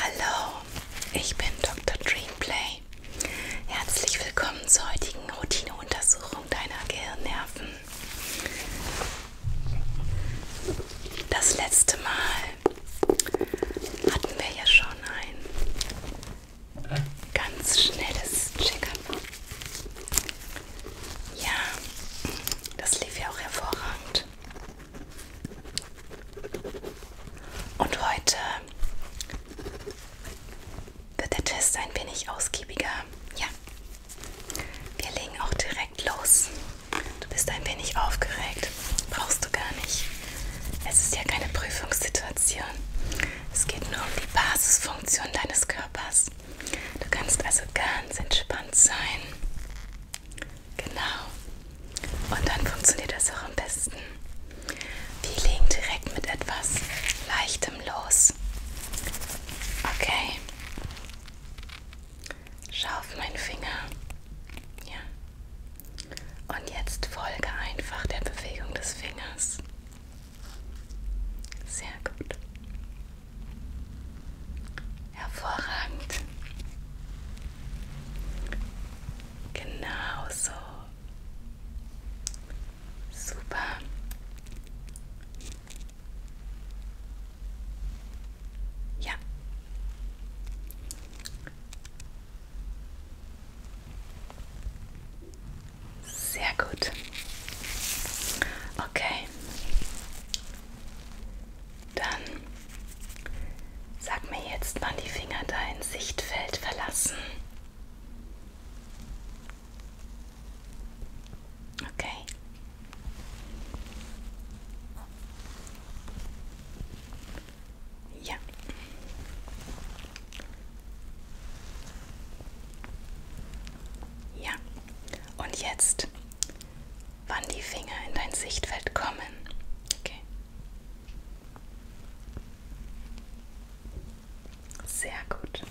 Hallo, ich bin Dr. Dreamplay. Herzlich willkommen zur heutigen Routineuntersuchung deiner Gehirnnerven. Das letzte Mal hatten wir ja schon ein ganz schnelles Check-up. Ja, das lief ja auch hervorragend. Und heute wird der Test ein wenig ausgiebiger. Ja, wir legen auch direkt los. Du bist ein wenig aufgeregt. Brauchst du gar nicht. Es ist ja keine Prüfungssituation. Es geht nur um die Basisfunktion deines Körpers. Du kannst also ganz entspannt sein. Genau. Und dann funktioniert das auch am besten. Wir legen direkt mit etwas Leichtem los. Okay. Schau auf meinen Finger. Ja. Und jetzt folge einfach der Bewegung des Fingers. Sehr gut. Hervorragend. Genau so. Super. Ja. Sehr gut. Okay. Dann sag mir jetzt, wann die Finger dein Sichtfeld verlassen. Okay. Ja. Ja. Und jetzt wann die Finger in dein Sichtfeld kommen. Okay. Sehr gut.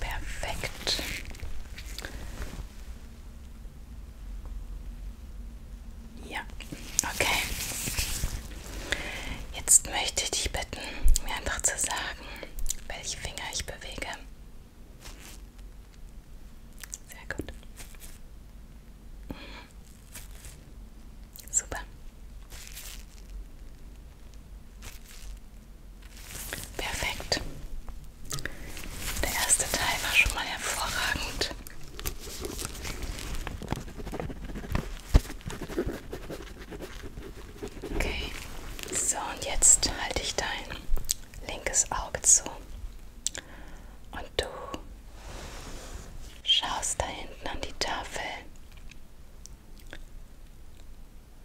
Perfekt. Ja, okay. Jetzt möchte ich dich bitten, mir einfach zu sagen, welche Finger ich bewege. Sehr gut. Super. Perfekt. Der erste Teil war schon mal hervorragend. Okay, so und jetzt halte ich dein linkes Auge zu und du schaust da hinten an die Tafel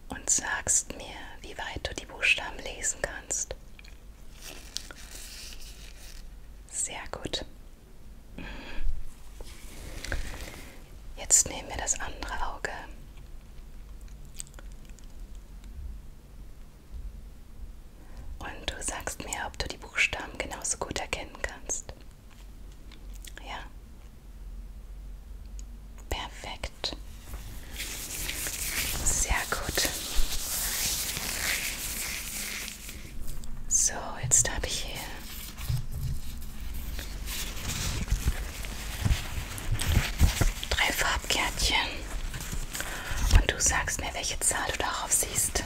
und sagst mir, wie weit du die Buchstaben lesen kannst. Sehr gut. Mhm. Jetzt nehmen wir das andere Auge und du sagst mir, ob du die Buchstaben genauso gut erkennen kannst. Ja. Perfekt. Sehr gut. So, jetzt habe ich hier drei Farbkärtchen und du sagst mir, welche Zahl du darauf siehst.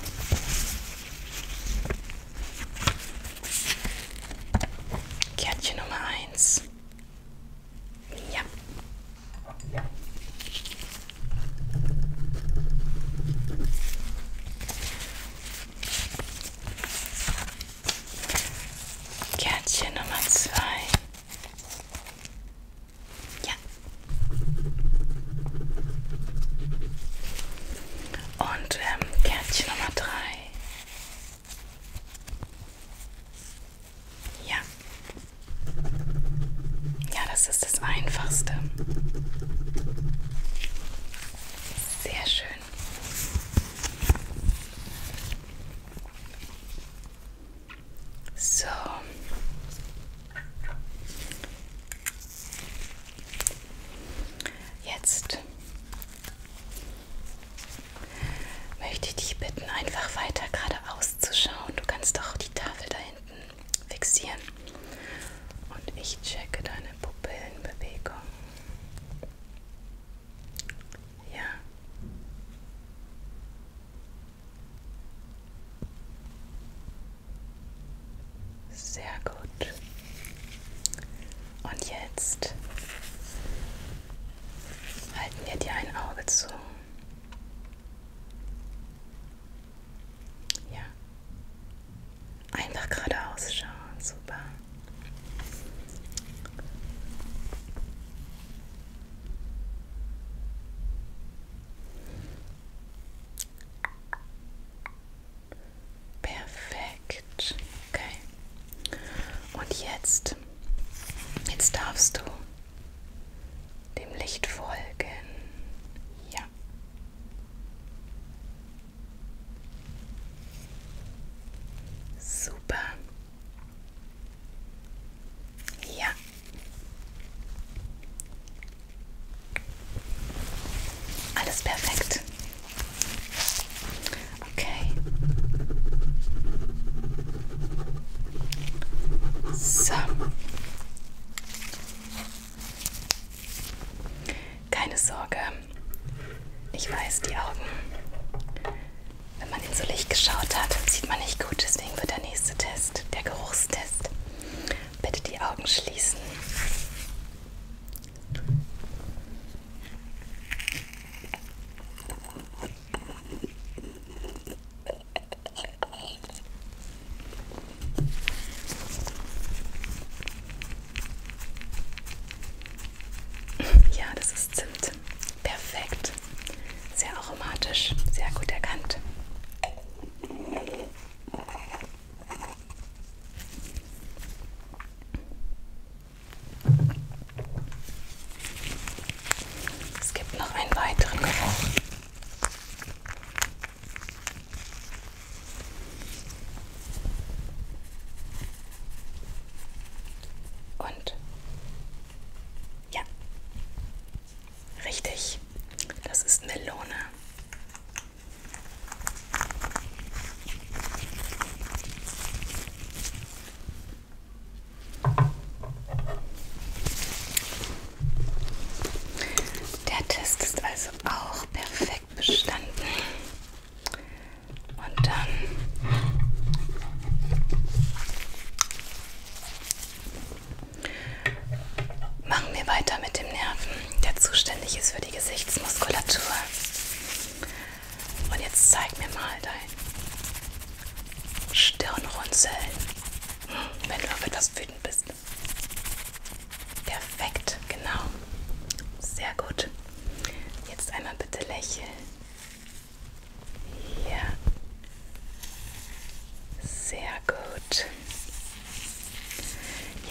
Kärtchen Nummer 1. Ja. Kärtchen Nummer 2. Ja. Und ähm, Kärtchen Nummer drei. Ja. Ja, das ist das Einfachste. Sehr schön. So. Jetzt möchte ich dich bitten, einfach weiter geradeaus zu schauen. Du kannst doch die Tafel da hinten fixieren. Und ich checke deine Pupillenbewegung. Ja. Sehr gut. Und jetzt halten wir dir ein Auge zu. Ja. Einfach geradeaus schauen. Super. Perfekt. Okay. Und jetzt, jetzt darfst du dem Licht folgen. Ja. Super. Ja. Alles perfekt. Okay. So. Keine Sorge. Ich weiß, die Augen wenn man ihn so Licht geschaut hat, sieht man nicht gut. Deswegen wird der nächste Test, der Geruchstest. Bitte die Augen schließen. Ja, das ist Zimt. Perfekt. Sehr aromatisch, sehr gut erkannt. Es gibt noch einen weiteren Geruch. Und ja, richtig. Das ist Melone. Der Test ist also auch perfekt bestanden. Und dann Machen wir weiter mit dem Nerven, der zuständig ist für die Gesichtsmuskulatur. Und jetzt zeig mir mal dein Stirnrunzeln, wenn du auf etwas wütend bist. Perfekt, genau. Sehr gut. Jetzt einmal bitte lächeln. Hier. Sehr gut.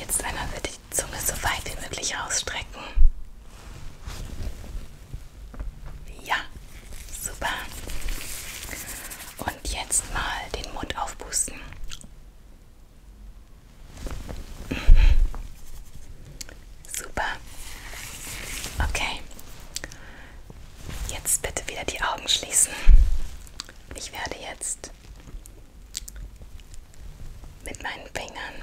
Jetzt einmal bitte die Zunge so weit wie möglich ausstrecken. Ja, super. Und jetzt mal den Mund aufpusten. Mhm. Super. Okay. Jetzt bitte wieder die Augen schließen. Ich werde jetzt mit meinen Fingern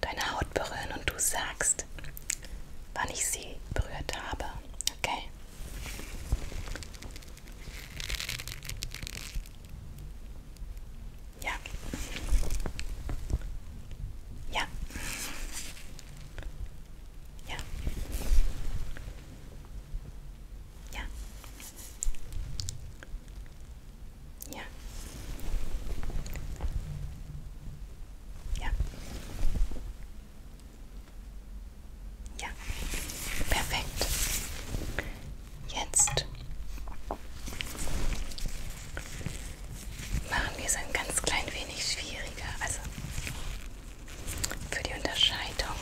deine Haut berühren und du sagst, wann ich sie berührt habe. Okay? Ja. Ja. Ja. Ja. Ja. Ja. Ja. Perfekt. Jetzt machen wir es ein ganz klein wenig schwieriger. Also für die Unterscheidung.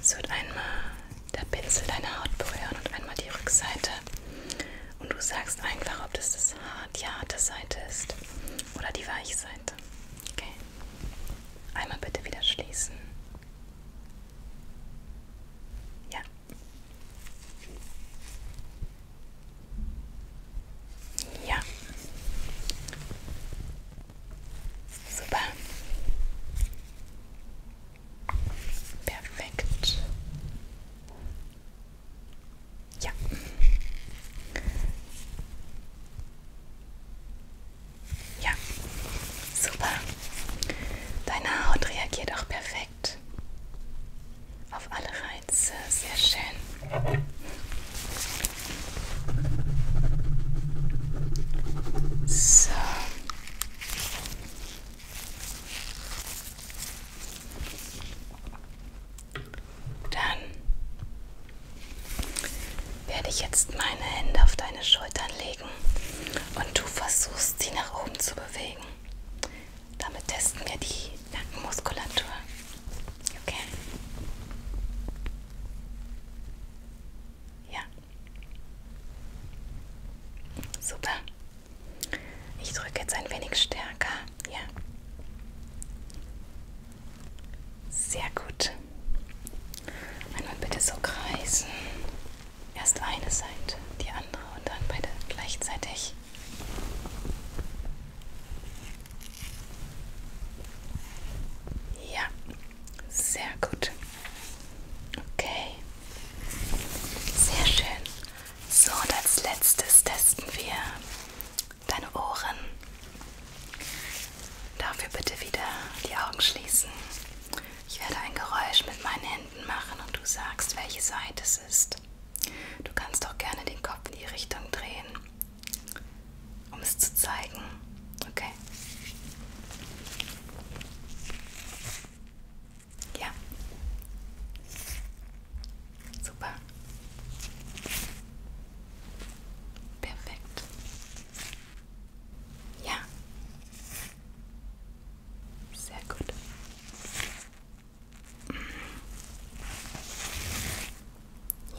Es wird einmal der Pinsel deine Haut berühren und einmal die Rückseite. Und du sagst einfach, ob das, das Haar, die harte Seite ist oder die weiche Seite. Okay. Einmal bitte wieder schließen. Ja. Ja. Super. Perfekt. Ja. Ja. Super. Deine Haut reagiert auch perfekt auf alle Salze, sehr schön. So. Dann werde ich jetzt meine Hände auf deine Schultern legen und du versuchst sie nach oben zu bewegen. Damit testen wir die Nackenmuskulatur. Okay? Ja. Super. Ich drücke jetzt ein wenig stärker. Ja. Sehr gut. Einmal bitte so kreisen. Erst eine Seite, die andere und dann beide gleichzeitig. Ja, sehr gut. Okay, sehr schön. So, und als letztes testen wir deine Ohren. Dafür bitte wieder die Augen schließen. Ich werde ein Geräusch mit meinen Händen machen und du sagst, welche Seite es ist. Du kannst auch gerne den Kopf in die Richtung drehen um es zu zeigen. Okay. Ja. Super. Perfekt. Ja. Sehr gut.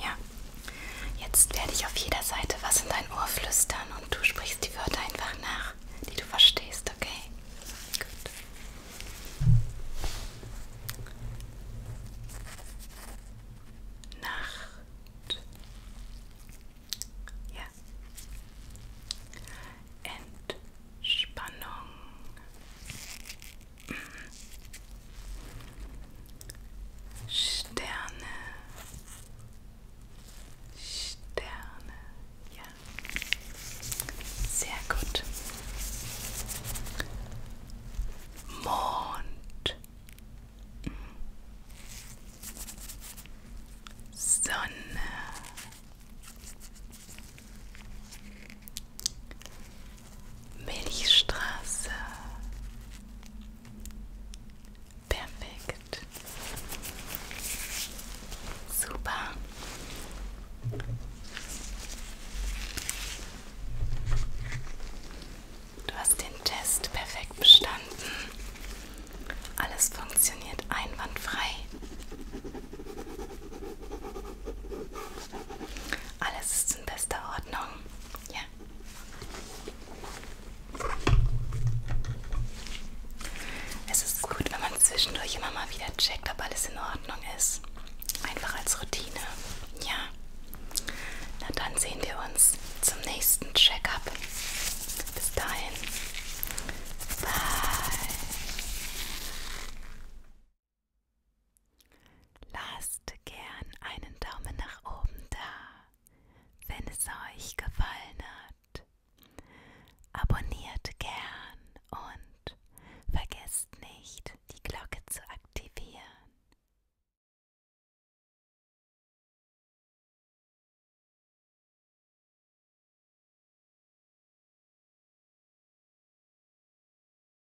Ja, jetzt werde ich auf jeder Seite was in dein Ohr flüstern und du sprichst die Wörter einfach nach, die du verstehst, okay? Gut. Nacht. Ja. Entspannung. Sterne. Sterne. Ja. Sehr gut. Mond. Sonne. Milchstraße. Perfekt. Super. Du hast den Test perfekt bestanden. Alles funktioniert einwandfrei. Alles ist alles in bester Ordnung. Ja. Es ist gut, wenn man zwischendurch immer mal wieder checkt, ob alles in Ordnung ist. Einfach als Routine. Ja. Na dann sehen wir uns zum nächsten Check-up. Bis dahin. Bye. Lasst gern einen Daumen nach oben da, wenn es euch gefallen hat. Abonniert gern und vergesst nicht, die Glocke zu aktivieren.